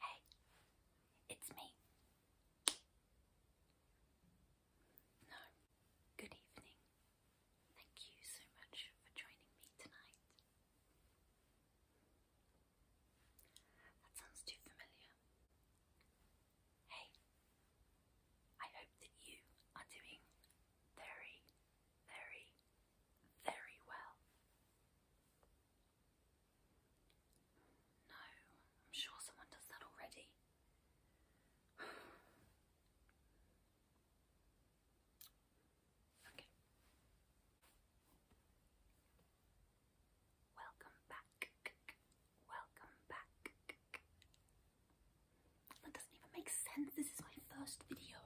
Hey, it's me. No, good evening. Thank you so much for joining me tonight. That sounds too familiar. Hey, I hope that you are doing very, very, very well. No, I'm sure someone does that already. okay. Welcome back. Welcome back. That doesn't even make sense. This is my first video.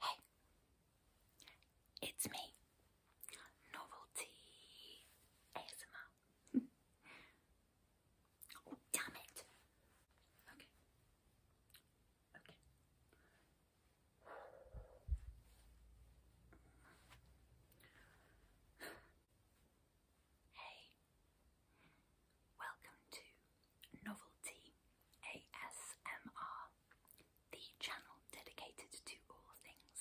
Hey, it's me, Novelty ASMR. oh, damn it. Okay. Okay. Hey, Welcome to Novelty ASMR, the channel dedicated to all things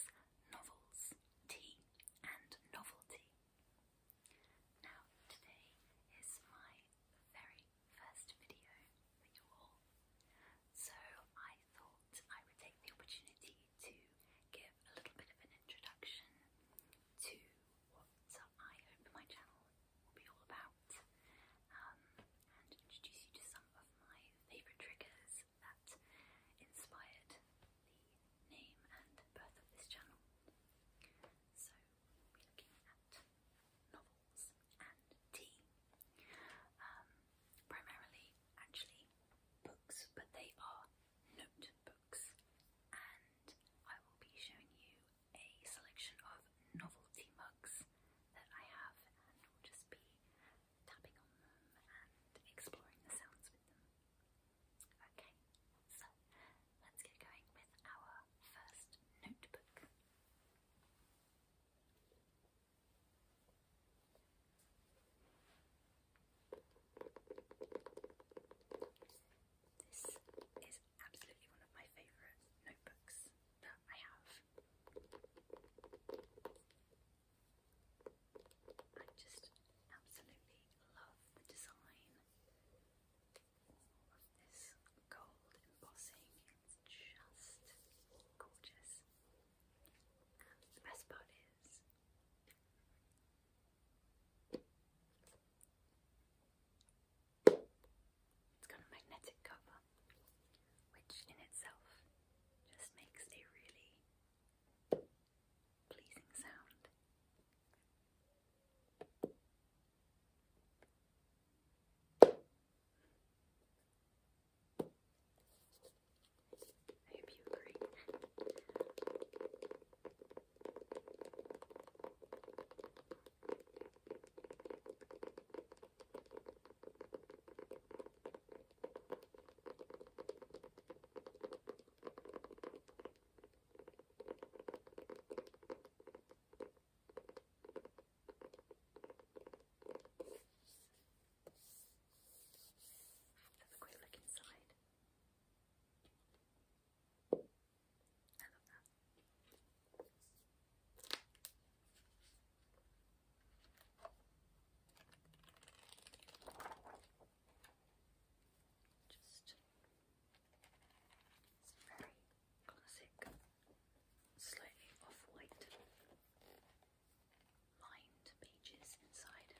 novels, tea, and novelty. Now, today is my very first video for you all, so I thought I would take the opportunity to give a little bit of an introduction to what I hope my channel will be all about um, and introduce you to some of my favourite triggers that inspired the name and birth of this channel. So we'll looking at novels and tea. Um, primarily actually books, but they are notebooks, and I will be showing you a selection of novelty mugs that I have, and we'll just be tapping on them and exploring the sounds with them. Okay, so let's get going with our first notebook. This is absolutely one of my favourite notebooks that I have. I just absolutely love the design. All of this gold embossing, it's just gorgeous. the best part is, it's got a magnetic cover, which in itself just makes a really pleasing sound. I hope you agree. Have a quick look inside. I love Just it's very classic, slightly off-white lined pages inside.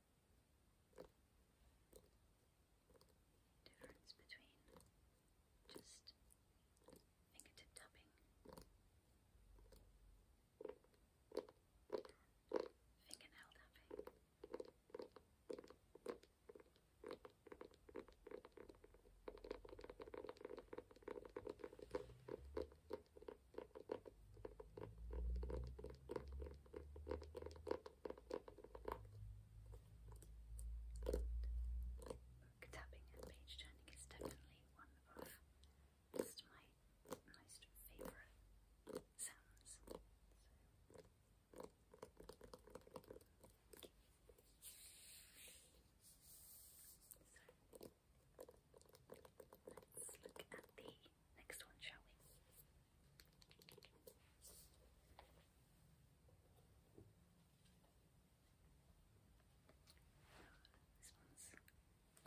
difference between just fingertip tapping and fingernail tapping. Book tapping and page turning is definitely one of just my most favourite sounds. So, let's look at the Next one, shall we? This one's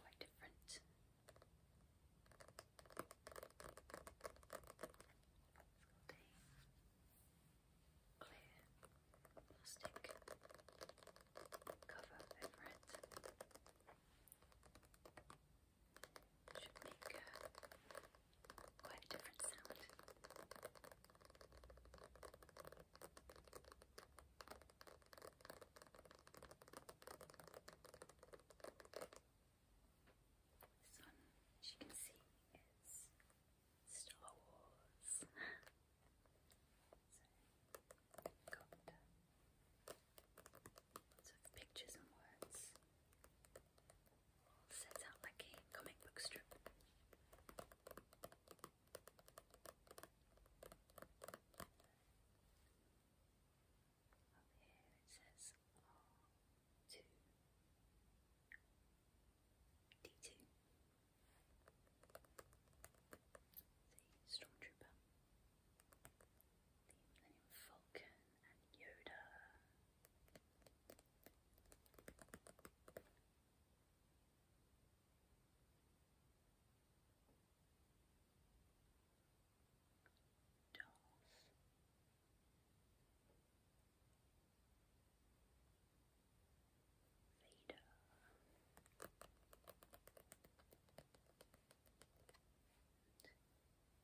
quite different. clear plastic cover over should make uh, quite a different sound. This one, as you can see, is Star Wars. so, got uh, Lots of pictures and words. Set out like a comic book strip. Up here it says R2 D2. The Stormtrooper. The Millennium Falcon and Yoda. Dolls. Vader.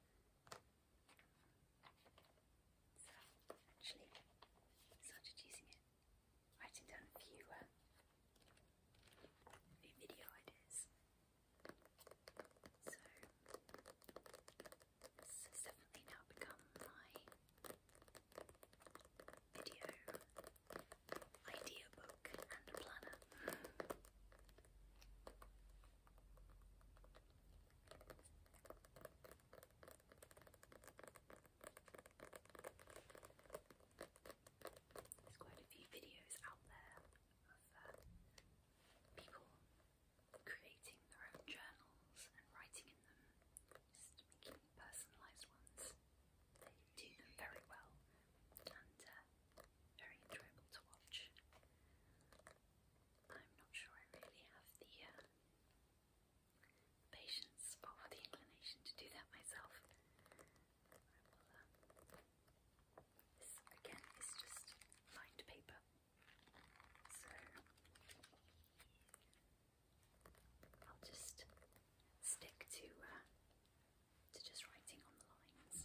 So actually started using it, writing down uh, a few, video ideas. So this has definitely now become my video idea book and planner. There's quite a few videos out there of uh, people creating their own journals and writing in them, just making personalised ones. They do very well, uh, very enjoyable to watch. I'm not sure I really have the uh, patience or the inclination to do that myself. this again is just lined paper, so I'll just stick to uh, to just writing on the lines.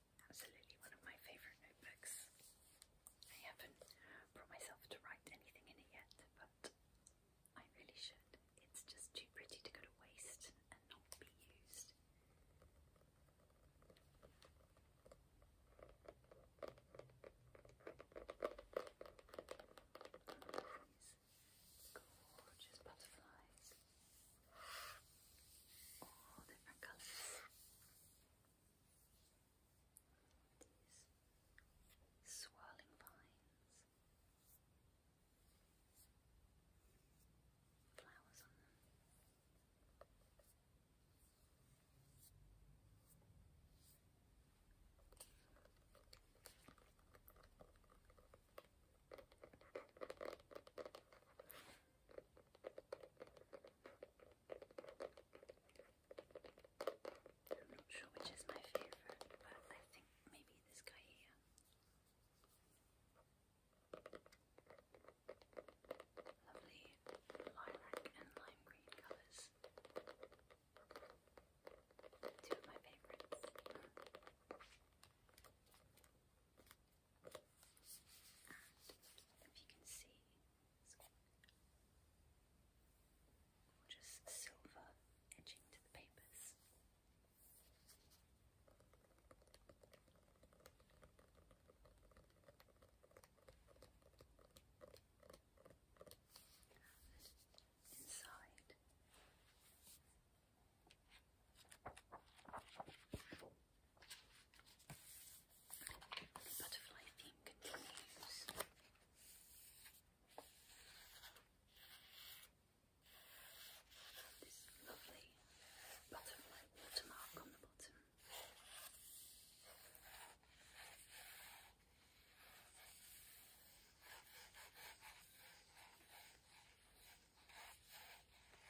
absolutely one of my favourite notebooks. I haven't brought myself to write anything in it yet, but I really should. It's just too pretty to go to waste and not be used. gorgeous butterflies, all different colours these swirling vines, flowers on them. I'm not sure which is my favourite, but I think maybe this guy here. Lovely lilac and lime green colours. Two of my favourites. And if you can see, gorgeous silver edging to the papers. inside, the butterfly theme continues. This lovely butterfly watermark on the bottom.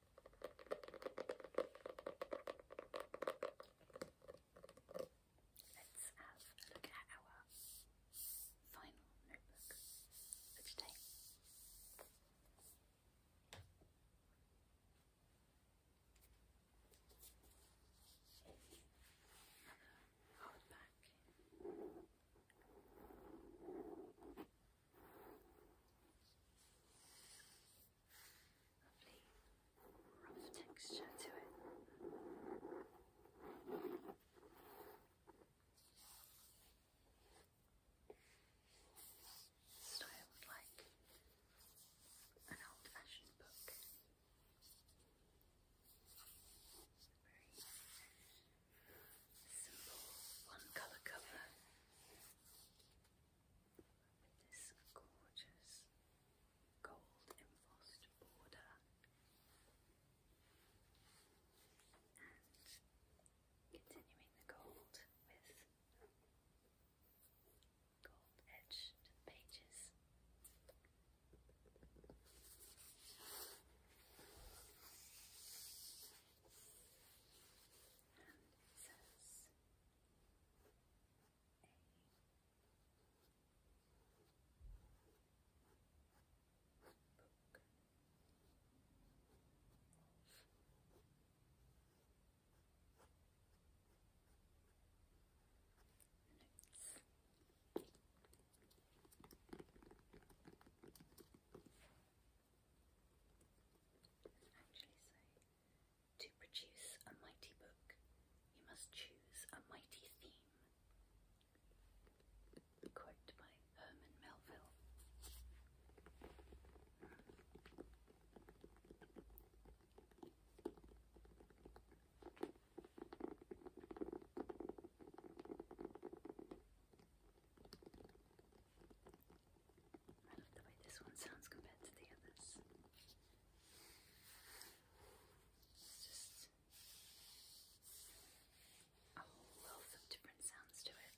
Let's have a look at our final notebook today. Another hardback. Lovely rough texture to it. Styled like an old fashioned book simple one colour cover with this gorgeous gold embossed border and continuing the gold with gold edge pages and it says A. Book notes to produce a mighty book, you must choose a mighty theme. Quote by Herman Melville. I like the way this one sounds compared to the others. It's just a wealth of different sounds to it.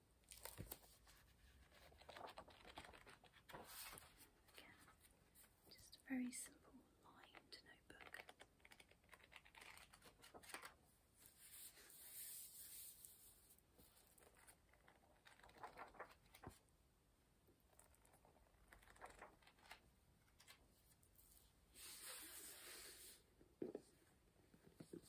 Again, just a very simple lined notebook let's move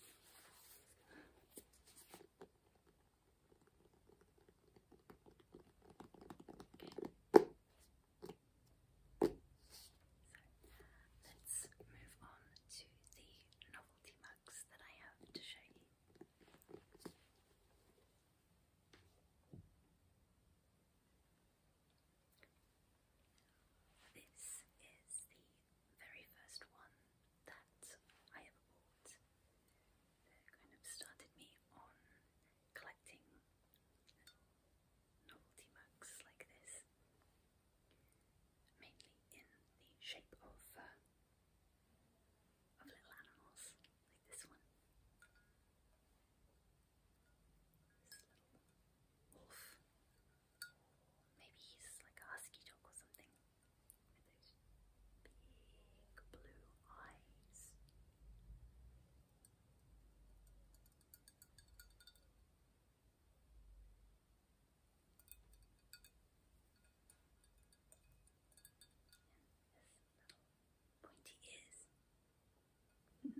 on to the novelty mugs that I have to show you. This is the very first one that I ever bought kind of started me on collecting novelty mugs like this, mainly in the shape of uh, of little animals like this one. This little wolf Maybe he's like a husky dog or something with those big blue eyes. pointy ears.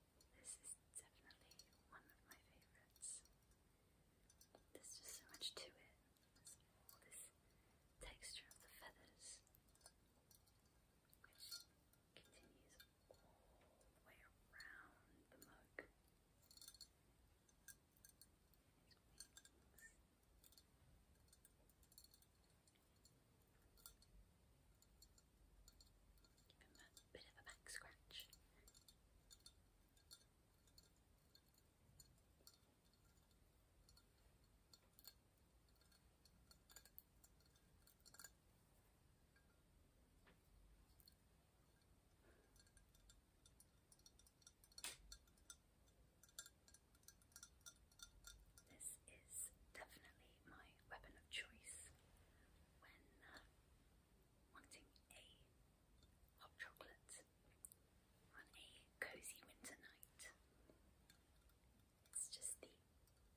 This is definitely one of my favorites. There's just so much to it. all this texture of the feathers, which continues all the way around the mug. Give him a bit of a back scratch. This is definitely my weapon of choice when uh, wanting a hot chocolate on a cozy winter night. It's just the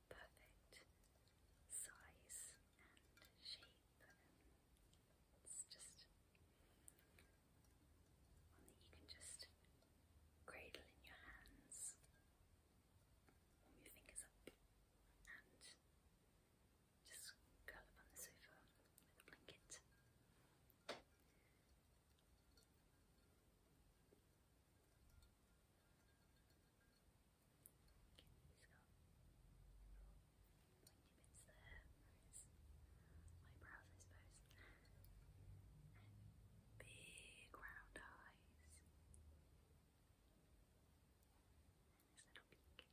perfect size and shape, it's just one that you can just cradle in your hands warm your fingers up and just curl up on the sofa with a blanket. Okay, he's got bits there, eyebrows I suppose, and big round eyes eyes and his little beak.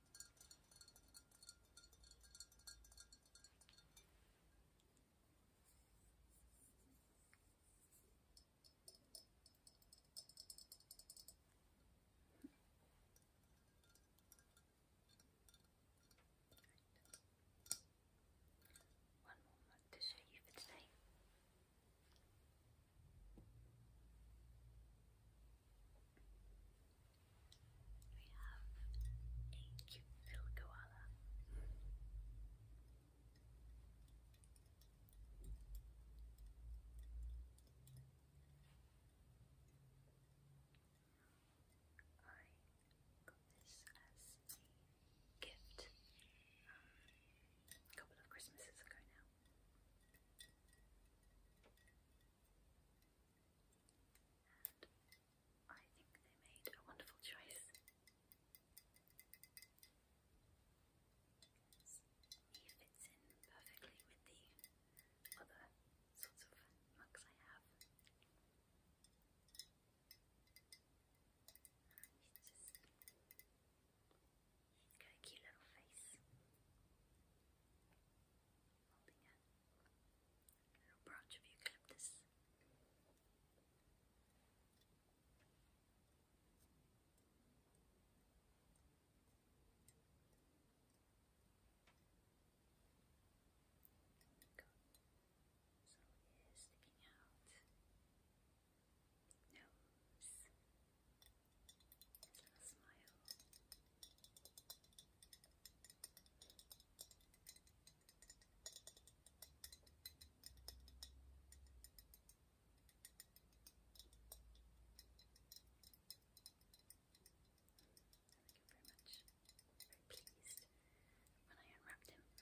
One more mug to show you for today. We have a cute little koala. I got this as a gift a couple of Christmases ago now. And I think they made a wonderful choice. he fits in perfectly with the other sorts of mugs I have. he's got a cute little face holding a little branch of eucalyptus. Got some sticking out. Nose. His little smile. Thank you very much. very pleased when I unwrapped him.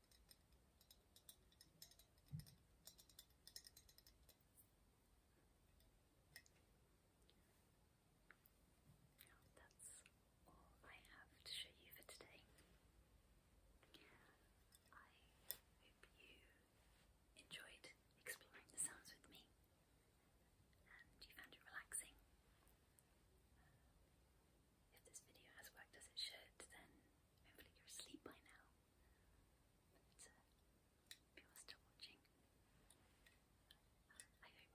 Now that's all I have to show you for today. I hope you enjoyed exploring the sounds with me and you found it relaxing. If this video has worked as it should, then hopefully you're asleep by now. But if you are still watching, I hope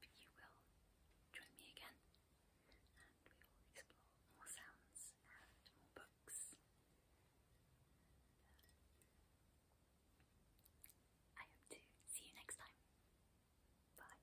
you will join me again and we will explore more sounds and more books. I hope to see you next time. Bye.